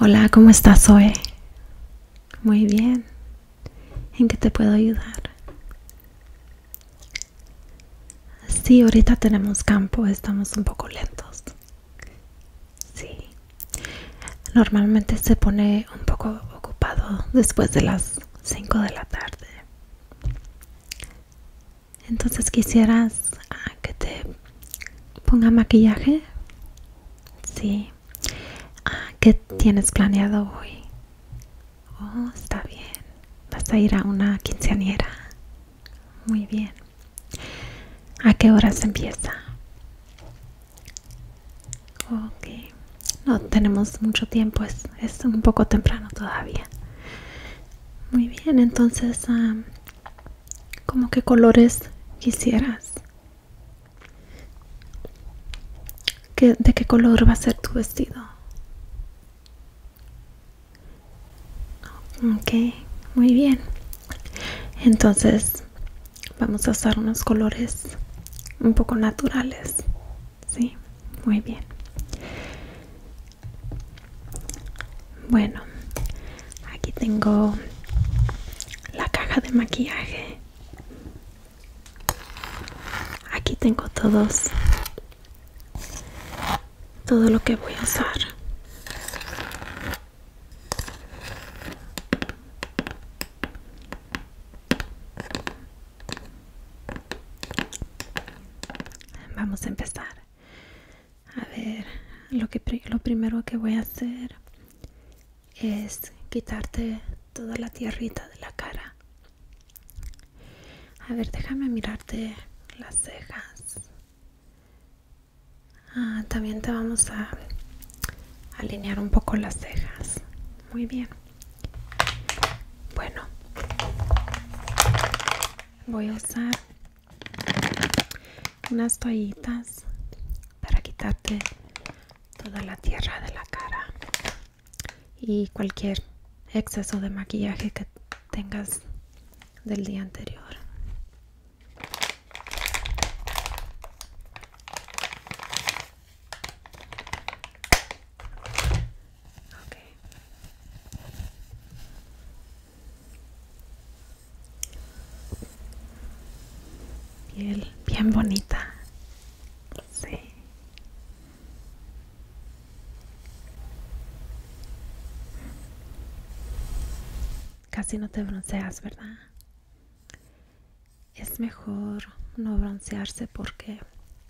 Hola, ¿cómo estás hoy? Muy bien. ¿En qué te puedo ayudar? Sí, ahorita tenemos campo, estamos un poco lentos. Sí. Normalmente se pone un poco ocupado después de las 5 de la tarde. Entonces quisieras ah, que te ponga maquillaje. Sí. Ah, ¿Qué tienes planeado hoy? Oh, está bien. Vas a ir a una quinceañera. Muy bien. ¿A qué horas empieza? Ok. No tenemos mucho tiempo. Es, un poco temprano todavía. Muy bien. Entonces, ah, como que colores quisieras de qué color va a ser tu vestido ok muy bien entonces vamos a usar unos colores un poco naturales sí muy bien bueno Aquí tengo la caja de maquillaje. Aquí tengo todos todo lo que voy a usar. Vamos a empezar. A ver, lo, lo primero que voy a hacer es quitarte toda la tierrita de la cara. A ver, déjame mirarte las cejas. Ah, también te vamos a alinear un poco las cejas. Muy bien. Bueno, voy a usar unas toallitas para quitarte toda la tierra de la cara y cualquier exceso de maquillaje que tengas del día anterior Piel bien bonita. Sí. Casi no te bronceas, ¿verdad? Es mejor no broncearse porque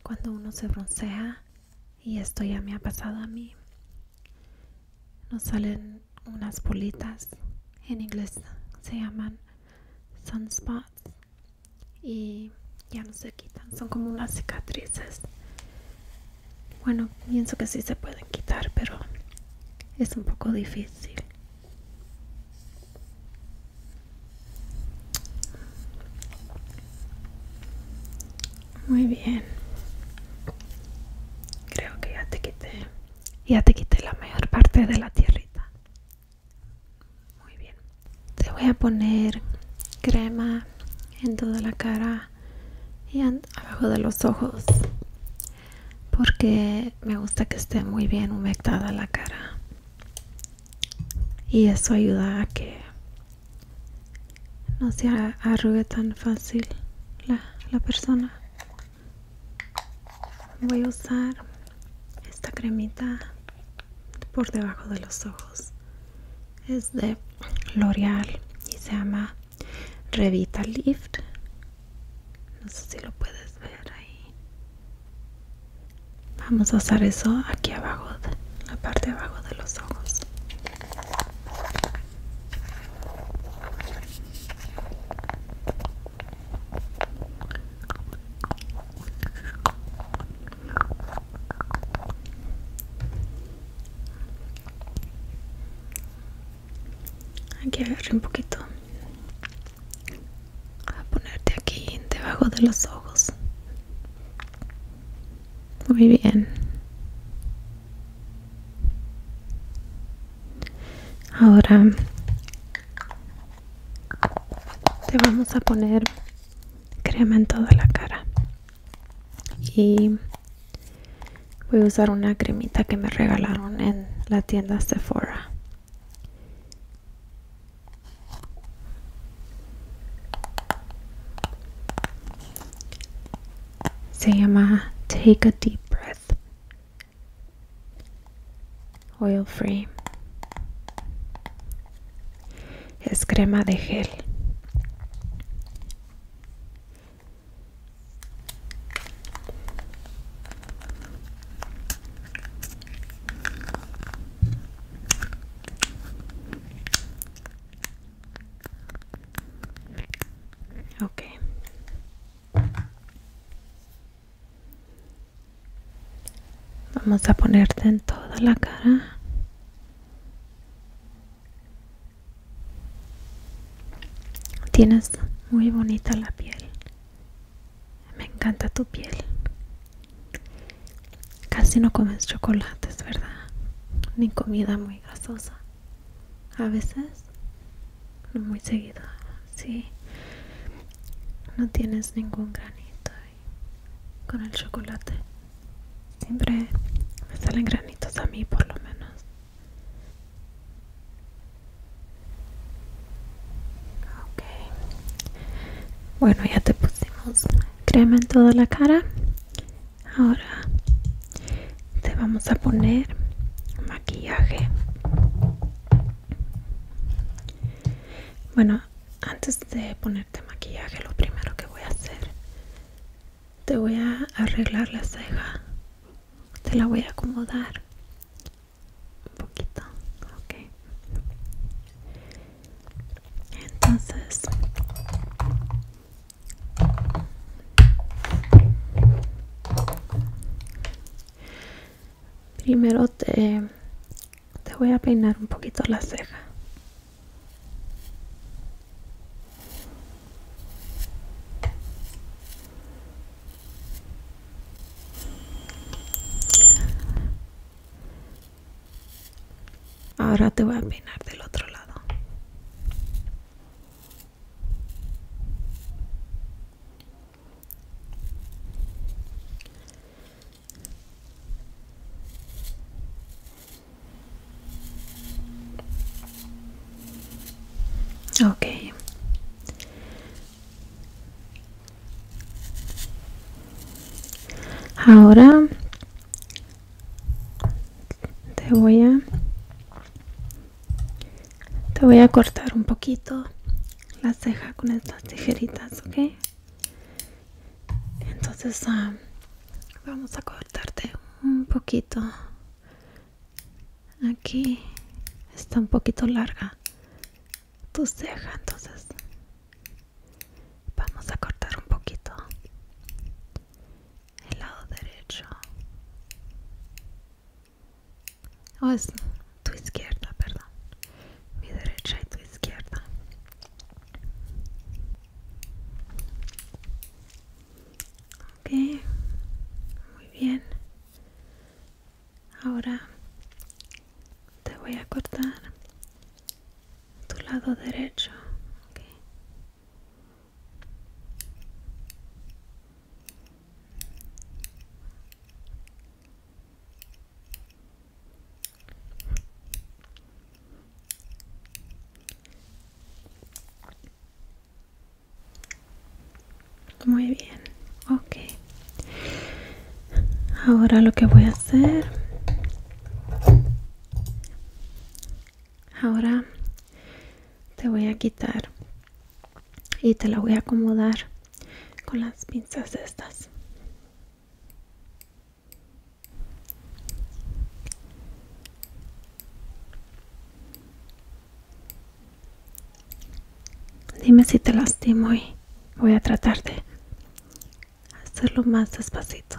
cuando uno se broncea, y esto ya me ha pasado a mí, nos salen unas bolitas en inglés se llaman sunspots y ya no se quitan son como unas cicatrices bueno pienso que sí se pueden quitar pero es un poco difícil muy bien. Creo que ya te quité. Ya te quite la mayor parte de la tierrita. Muy bien. Te voy a poner crema en toda la cara y abajo de los ojos. Porque me gusta que esté muy bien humectada la cara. Y eso ayuda a que no se arrugue tan fácil la persona voy a usar esta cremita por debajo de los ojos es de L'Oreal y se llama Revitalift Lift no sé si lo puedes ver ahí vamos a usar eso aquí abajo la parte de abajo de los ojos aquí que ver un poquito. A ponerte aquí debajo de los ojos. Muy bien. Ahora te vamos a poner crema en toda la cara y voy a usar una cremita que me regalaron en la tienda Sephora se llama Take a Deep Breath Oil Free. Es crema de gel. Ok. Vamos a ponerte en toda la cara. Tienes muy bonita la piel. Me encanta tu piel. Casi no comes chocolates, ¿verdad? Ni comida muy gasosa a veces, no muy seguido, si no tienes ningún granito con el chocolate. Siempre me salen granitos a mí por lo menos. Ok. Bueno, ya te pusimos crema en toda la cara ahora te vamos a poner maquillaje bueno antes de ponerte maquillaje lo primero que voy a hacer te voy a arreglar la ceja te la voy a acomodar un poquito ok entonces Primero te, voy a peinar un poquito la ceja. Ahora te voy a peinar del otro lado. Okay. Ahora te voy a te voy a cortar un poquito la ceja con estas tijeritas ok entonces ah, vamos a cortarte un poquito aquí está un poquito larga tu ceja entonces vamos a cortar un poquito el lado derecho o es tu izquierda perdón mi derecha y tu izquierda ok muy bien ahora te voy a cortar tu lado derecho muy bien, ok. Ahora lo que voy a hacer ahora te voy a quitar y te la voy a acomodar con las pinzas estas dime si te lastimo y voy a tratar de hacerlo más despacito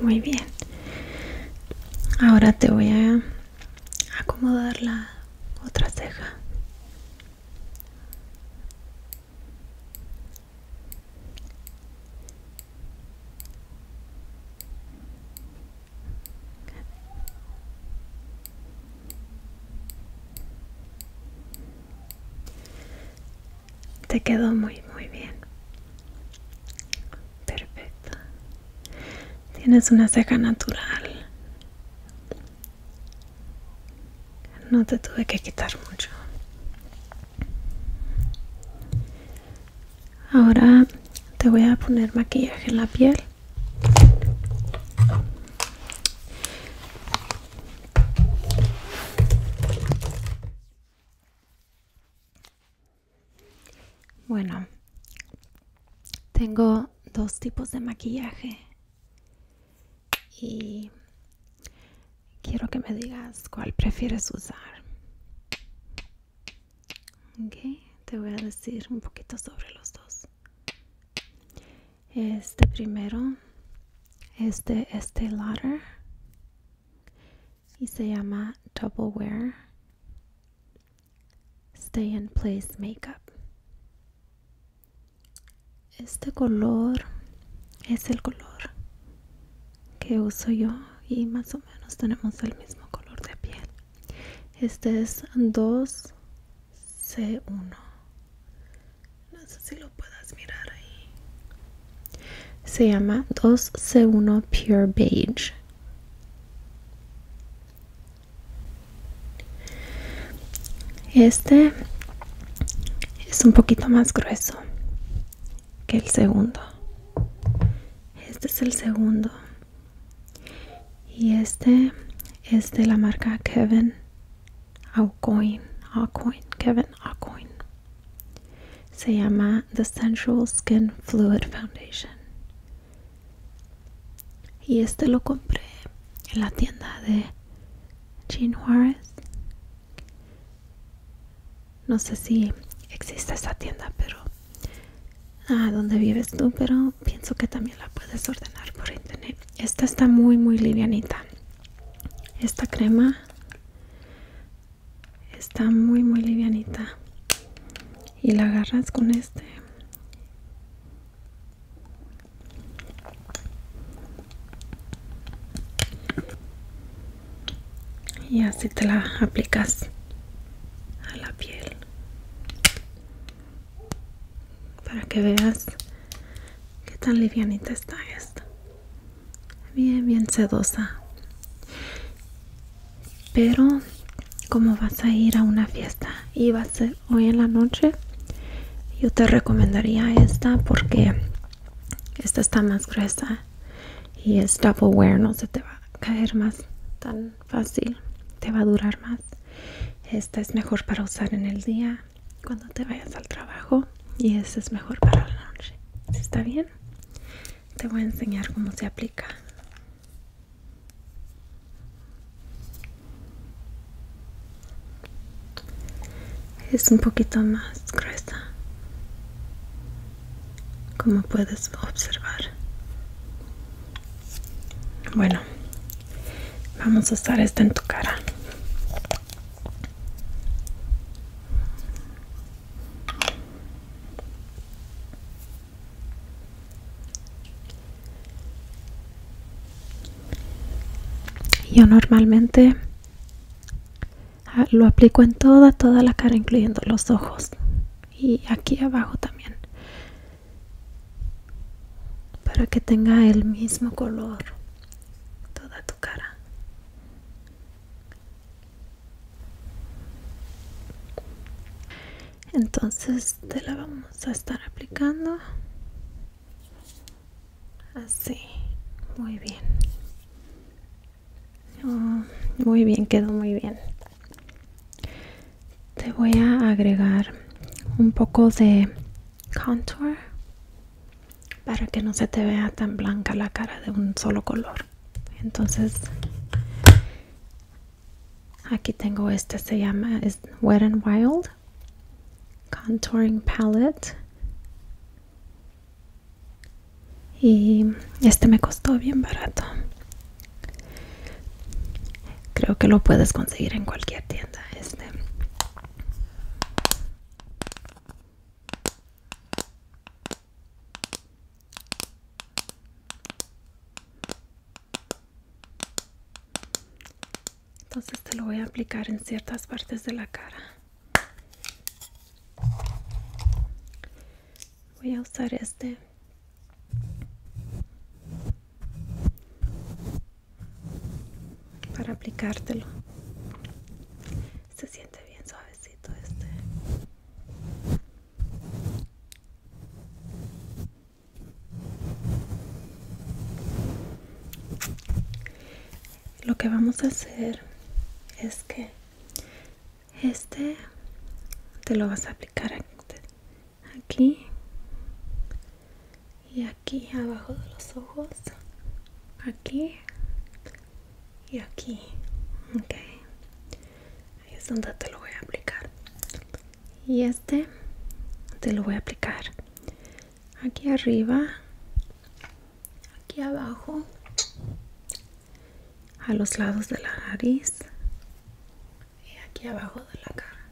Muy bien. Ahora te voy a acomodar la otra ceja te quedó muy muy bien perfecto tienes una ceja natural no te tuve que quitar mucho ahora te voy a poner maquillaje en la piel bueno, tengo dos tipos de maquillaje y quiero que me digas cuál prefieres usar. Okay, te voy a decir un poquito sobre los dos. Este primero es de Estee y se llama Double Wear Stay in Place Makeup. Este color es el color que uso yo y más o menos tenemos el mismo color de piel. Este es 2C1. No sé si lo puedas mirar ahí. Se llama 2C1 Pure Beige. Este es un poquito más grueso que el segundo. Este es el segundo. Y este es de la marca Kevin Aucoin. Kevin Aucoin. Se llama The Sensual Skin Fluid Foundation. Y este lo compré en la tienda de Jean Juarez. No sé si existe esa tienda, pero ah, donde vives tú, pero pienso que también la puedes ordenar por internet. Esta está muy muy livianita. Esta crema está muy muy livianita y la agarras con este y así te la aplicas a la piel para que veas que tan livianita está esta bien, bien sedosa. Pero como vas a ir a una fiesta y va a ser hoy en la noche, yo te recomendaría esta porque esta está más gruesa y es double wear, no se te va a caer más tan fácil, te va a durar más. Esta es mejor para usar en el día cuando te vayas al trabajo y esta es mejor para la noche. ¿Está bien? te voy a enseñar cómo se aplica es un poquito más gruesa como puedes observar bueno vamos a usar esta en tu cara yo normalmente ah, lo aplico en toda, toda la cara, incluyendo los ojos y aquí abajo también, para que tenga el mismo color toda tu cara entonces te la vamos a estar aplicando así muy bien muy bien quedó muy bien te voy a agregar un poco de contour para que no se te vea tan blanca la cara de un solo color entonces aquí tengo este se llama wet and wild contouring palette y este me costó bien barato creo que lo puedes conseguir en cualquier tienda este entonces te lo voy a aplicar en ciertas partes de la cara. Voy a usar este. Para aplicártelo se siente bien suavecito este lo que vamos a hacer es que este te lo vas a aplicar aquí y aquí abajo de los ojos aquí y aquí ok es donde te lo voy a aplicar y este te lo voy a aplicar aquí arriba aquí abajo a los lados de la nariz y aquí abajo de la cara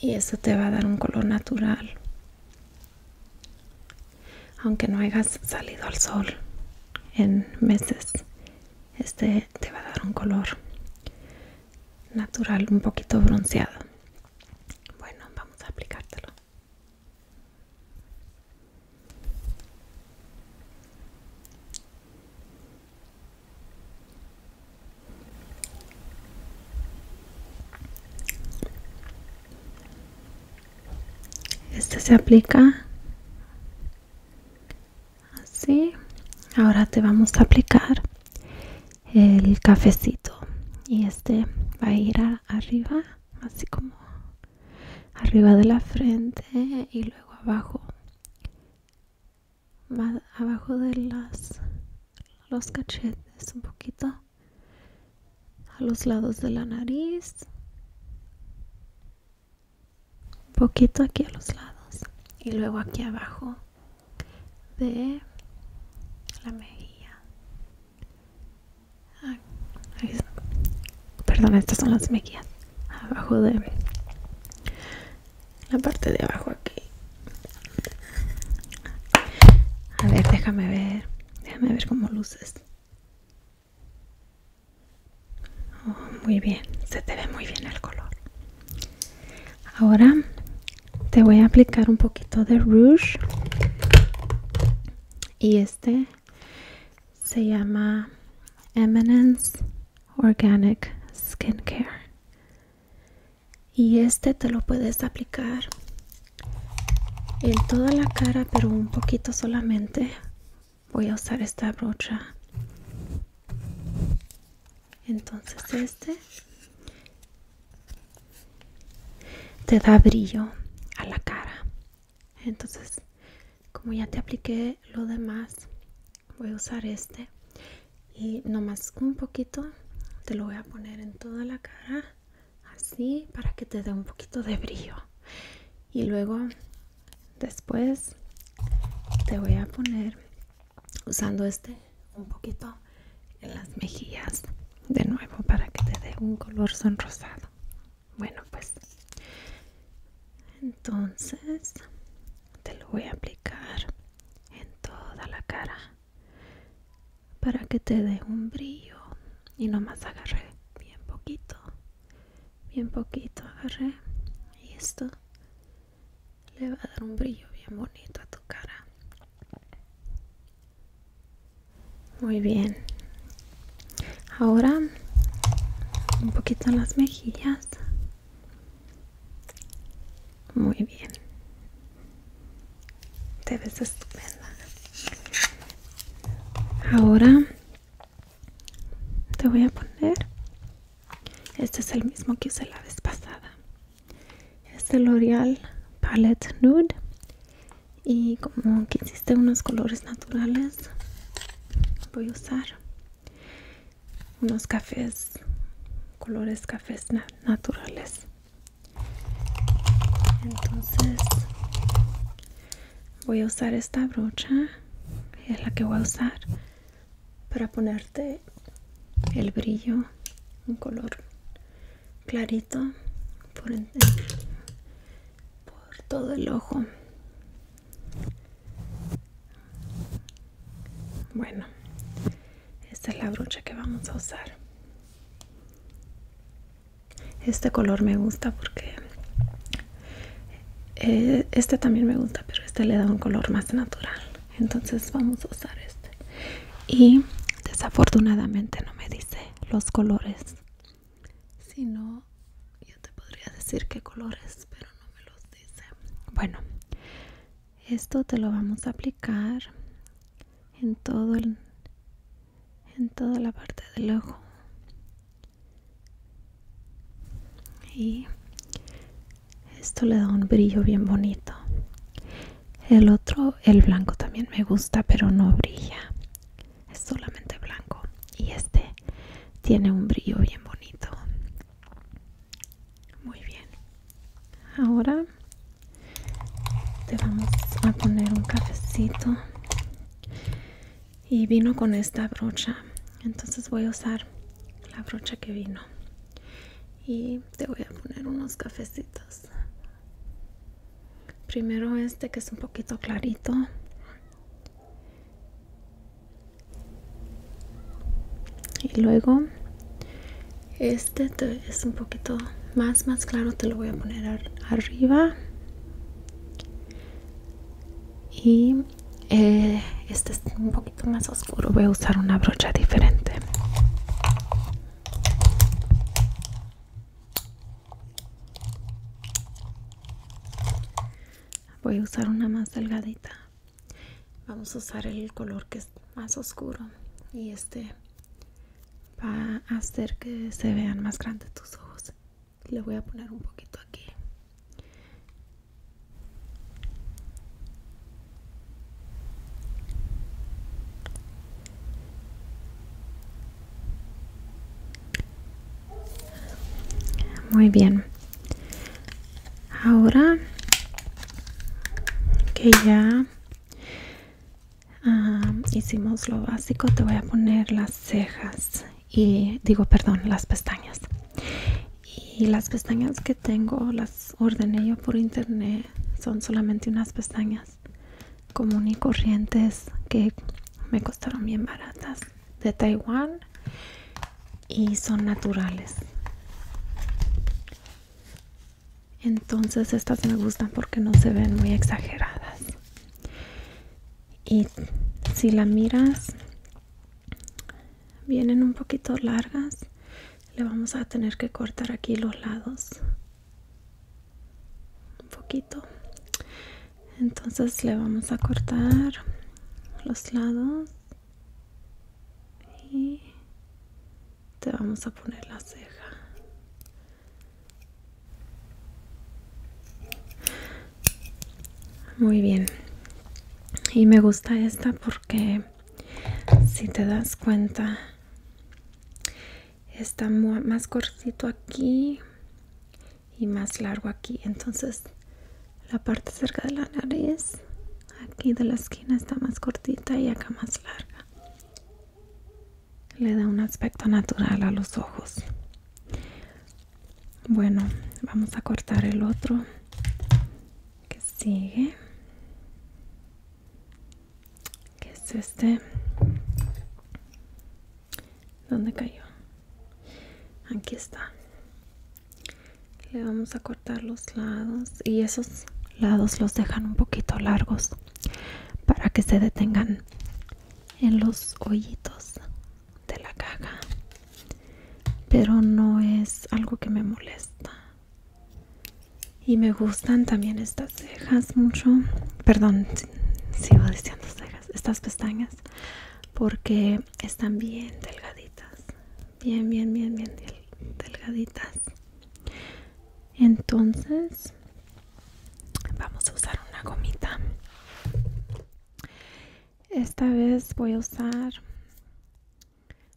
y eso te va a dar un color natural aunque no hayas salido al sol en meses este te va a dar un color natural un poquito bronceado bueno vamos a aplicártelo este se aplica así ahora te vamos a aplicar el cafecito y este va a ir arriba así como arriba de la frente y luego abajo abajo de las los cachetes un poquito a los lados de la nariz un poquito aquí a los lados y luego aquí abajo de la mejilla ah, perdón estas son las mejillas abajo de la parte de abajo aquí a ver déjame ver Déjame ver cómo luces. Oh, muy bien, se te ve muy bien el color. Ahora te voy a aplicar un poquito de rouge. Y este se llama Eminence Organic Skincare y este te lo puedes aplicar en toda la cara pero un poquito solamente voy a usar esta brocha entonces este te da brillo a la cara entonces como ya te apliqué lo demás voy a usar este y nomás un poquito te lo voy a poner en toda la cara así para que te dé un poquito de brillo y luego después te voy a poner usando este un poquito en las mejillas de nuevo para que te dé un color sonrosado bueno pues entonces te lo voy a aplicar en toda la cara para que te dé un brillo y nomás agarré bien poquito bien poquito agarré y esto le va a dar un brillo bien bonito a tu cara muy bien ahora un poquito en las mejillas muy bien. Te ves estupenda. Ahora te voy a poner. Este es el mismo que usé la vez pasada. Es el L'Oreal Palette Nude. Y como que hiciste unos colores naturales, voy a usar unos cafés, colores cafés naturales entonces voy a usar esta brocha es la que voy a usar para ponerte el brillo un color clarito por, por todo el ojo bueno esta es la brocha que vamos a usar este color me gusta porque eh, este también me gusta pero este le da un color más natural entonces vamos a usar este y desafortunadamente no me dice los colores si yo te podría decir qué colores pero no me los dice bueno esto te lo vamos a aplicar en todo en toda la parte del ojo y esto le da un brillo bien bonito el otro el blanco también me gusta pero no brilla es solamente blanco y este tiene un brillo bien bonito muy bien ahora te vamos a poner un cafecito y vino con esta brocha entonces voy a usar la brocha que vino y te voy a poner unos cafecitos primero este que es un poquito clarito y luego este es un poquito más más claro te lo voy a poner arriba y eh, este es un poquito más oscuro voy a usar una brocha diferente voy a usar una más delgadita vamos a usar el color que es más oscuro y este va a hacer que se vean más grandes tus ojos le voy a poner un poquito aquí muy bien ahora que ya hicimos lo básico te voy a poner las cejas y digo perdón las pestañas y las pestañas que tengo las ordené yo por internet son solamente unas pestañas común y corrientes que me costaron bien baratas de Taiwán y son naturales entonces estas me gustan porque no se ven muy exageradas y si la miras vienen un poquito largas le vamos a tener que cortar aquí los lados un poquito entonces le vamos a cortar los lados te vamos a poner la ceja muy bien y me gusta esta porque si te das cuenta está más cortito aquí y más largo aquí entonces la parte cerca de la nariz aquí de la esquina está más cortita y acá más larga le da un aspecto natural a los ojos bueno vamos a cortar el otro que sigue que es este ¿Dónde cayó? Aquí está. Le vamos a cortar los lados y esos lados los dejan un poquito largos para que se detengan en los hoyitos de la caja pero no es algo que me molesta y me gustan también estas cejas mucho perdón sigo diciendo cejas estas pestañas porque están bien delgaditas bien bien bien bien delgaditas entonces vamos a usar una gomita esta vez voy a usar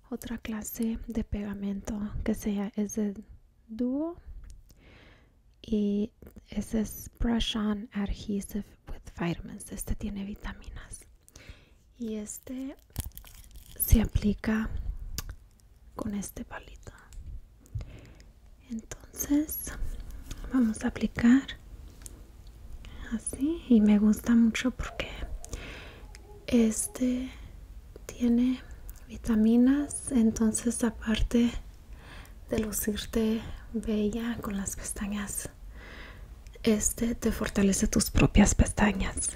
otra clase de pegamento que sea es de duo y ese es brush on adhesive with vitamins este tiene vitaminas y este se aplica con este palito entonces vamos a aplicar así y me gusta mucho porque este tiene vitaminas entonces aparte de lucirte bella con las pestañas este te fortalece tus propias pestañas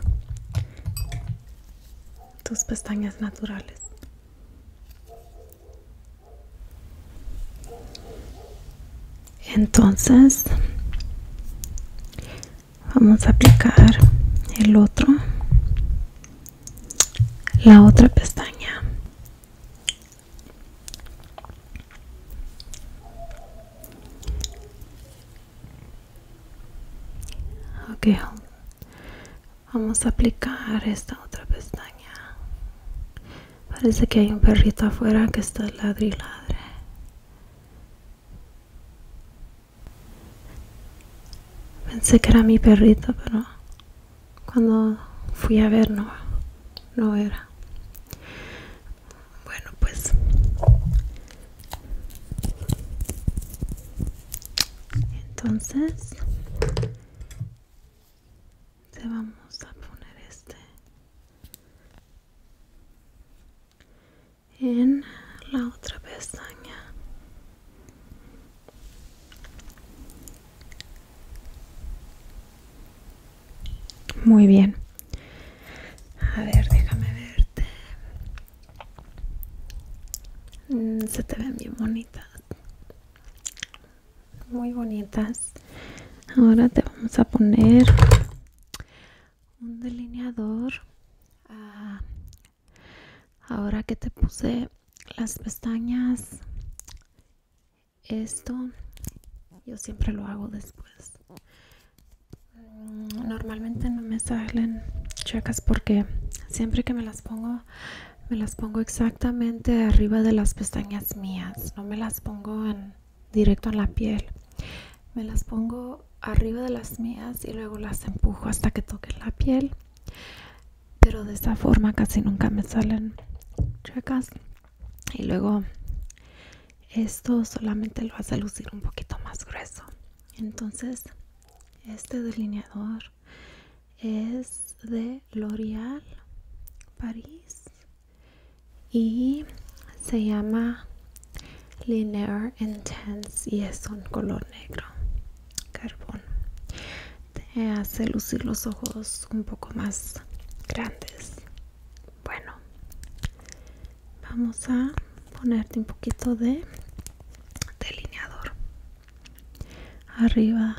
tus pestañas naturales. Entonces vamos a aplicar el otro, la otra pestaña ok vamos a aplicar esta otra pestaña parece que hay un perrito afuera que está ladre y pensé que era mi perrito pero cuando fui a ver no no era bueno, pues entonces te vamos a poner este en la otra pestaña. Muy bien. A ver, déjame verte. Mm, se te ven bien bonitas. Muy bonitas. Ahora te vamos a poner un delineador. Ah, ahora que te puse las pestañas, esto yo siempre lo hago después. Mm, normalmente no me salen checas porque siempre que me las pongo me las pongo exactamente arriba de las pestañas mías. No me las pongo en directo en la piel. Me las pongo arriba de las mías y luego las empujo hasta que toque la piel. Pero de esta forma casi nunca me salen checas. Y luego esto solamente lo hace lucir un poquito más grueso entonces este delineador es de l'oreal paris y se llama linear intense y es un color negro carbón te hace lucir los ojos un poco más grandes bueno vamos a ponerte un poquito de delineador arriba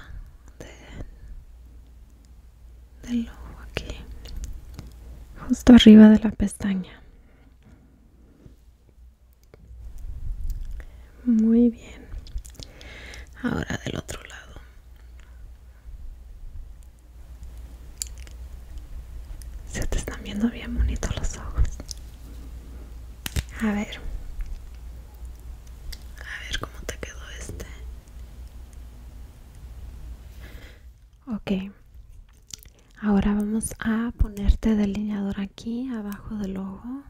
del ojo aquí justo arriba de la pestaña muy bien ahora del otro lado se te están viendo bien bonitos los ojos. A ver. A ver cómo te quedó este. Ok. Ahora vamos a ponerte delineador aquí abajo del ojo.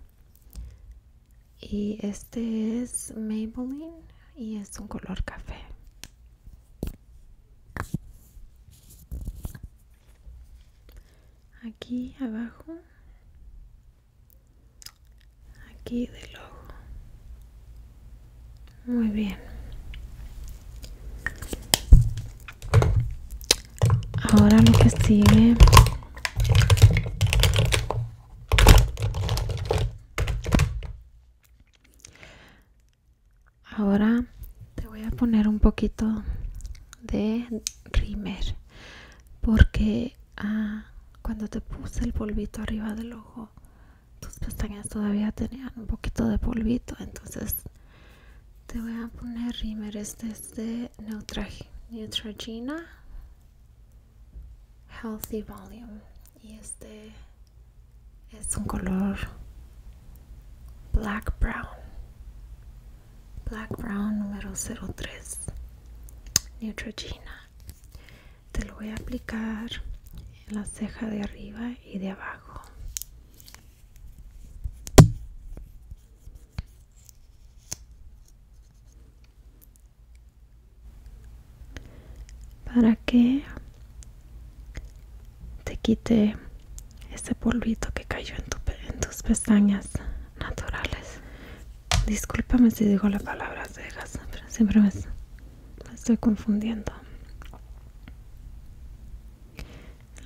Y este es Maybelline y es un color café aquí abajo aquí de ojo muy bien ahora lo que sigue Ahora te voy a poner un poquito de rimer porque ah, cuando te puse el polvito arriba del ojo tus pestañas todavía tenían un poquito de polvito entonces te voy a poner rimer este es de Neutrogena Healthy Volume y este es un color black brown black brown número 03 neutrogena te lo voy a aplicar en la ceja de arriba y de abajo para que te quite ese polvito que cayó en, tus pestañas naturales. Discúlpame si digo la palabra cegas, pero siempre me estoy confundiendo.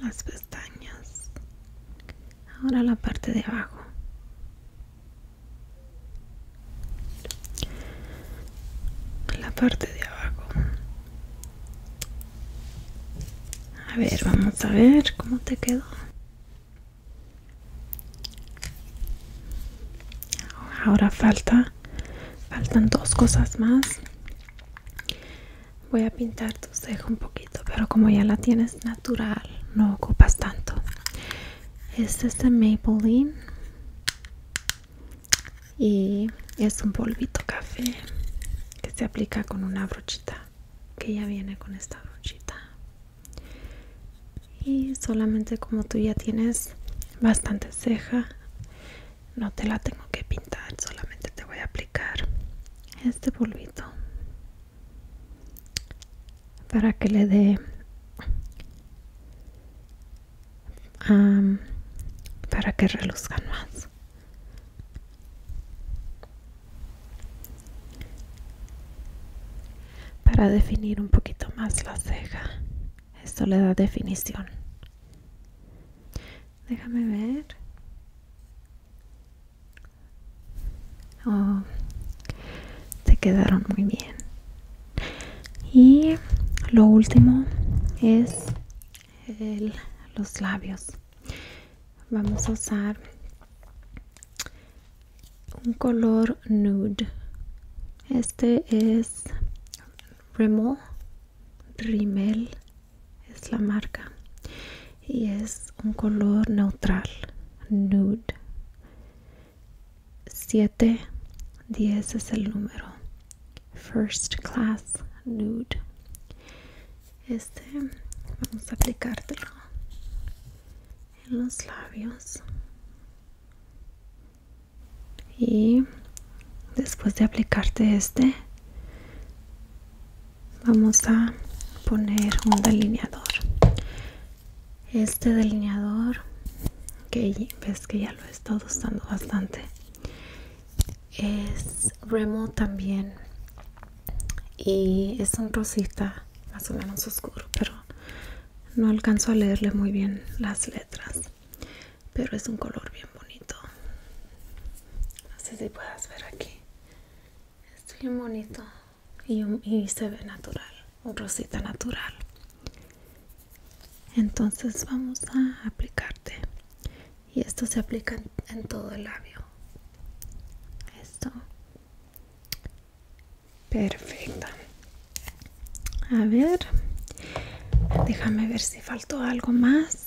Las pestañas. Ahora la parte de abajo. La parte de abajo a ver, vamos a ver cómo te quedó. Ahora falta, faltan dos cosas más. Voy a pintar tu ceja un poquito, pero como ya la tienes natural, no ocupas tanto. Este es de Maybelline y es un polvito café que se aplica con una brochita que ya viene con esta brochita y solamente como tú ya tienes bastante ceja no te la tengo que pintar solamente te voy a aplicar este polvito para que le dé para que reluzcan más para definir un poquito más la ceja esto le da definición déjame ver oh, Se quedaron muy bien y lo último es el, los labios vamos a usar un color nude este es Rimmel Rimmel es la marca y es un color neutral nude 7 10 es el número First Class Nude. Este vamos a aplicártelo en los labios. Y después de aplicarte este, vamos a poner un delineador. Este delineador que ves que ya lo he estado usando bastante es remo también y es un rosita más o menos oscuro pero no alcanzo a leerle muy bien las letras pero es un color bien bonito no sé si puedas ver aquí es bien bonito y, y se ve natural un rosita natural entonces vamos a aplicarte y esto se aplica en, todo el labio esto perfecto a ver déjame ver si faltó algo más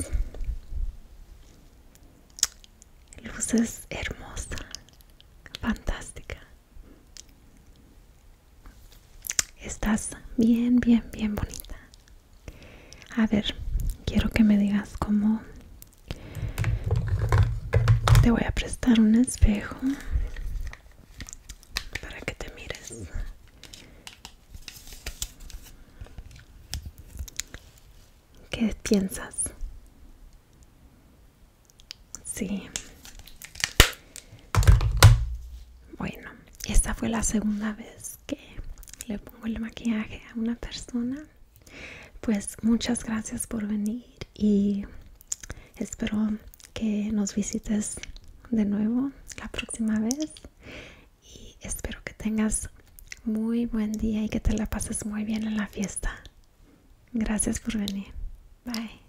luces hermosa fantástica Estás bien, bien, bien bonita. A ver, quiero que me digas cómo... Te voy a prestar un espejo para que te mires. ¿Qué piensas? Sí, bueno, esta fue la segunda vez que le pongo el maquillaje a una persona. Pues muchas gracias por venir y espero que nos visites de nuevo la próxima vez. Y espero que tengas muy buen día y que te la pases muy bien en la fiesta. Gracias por venir. Bye.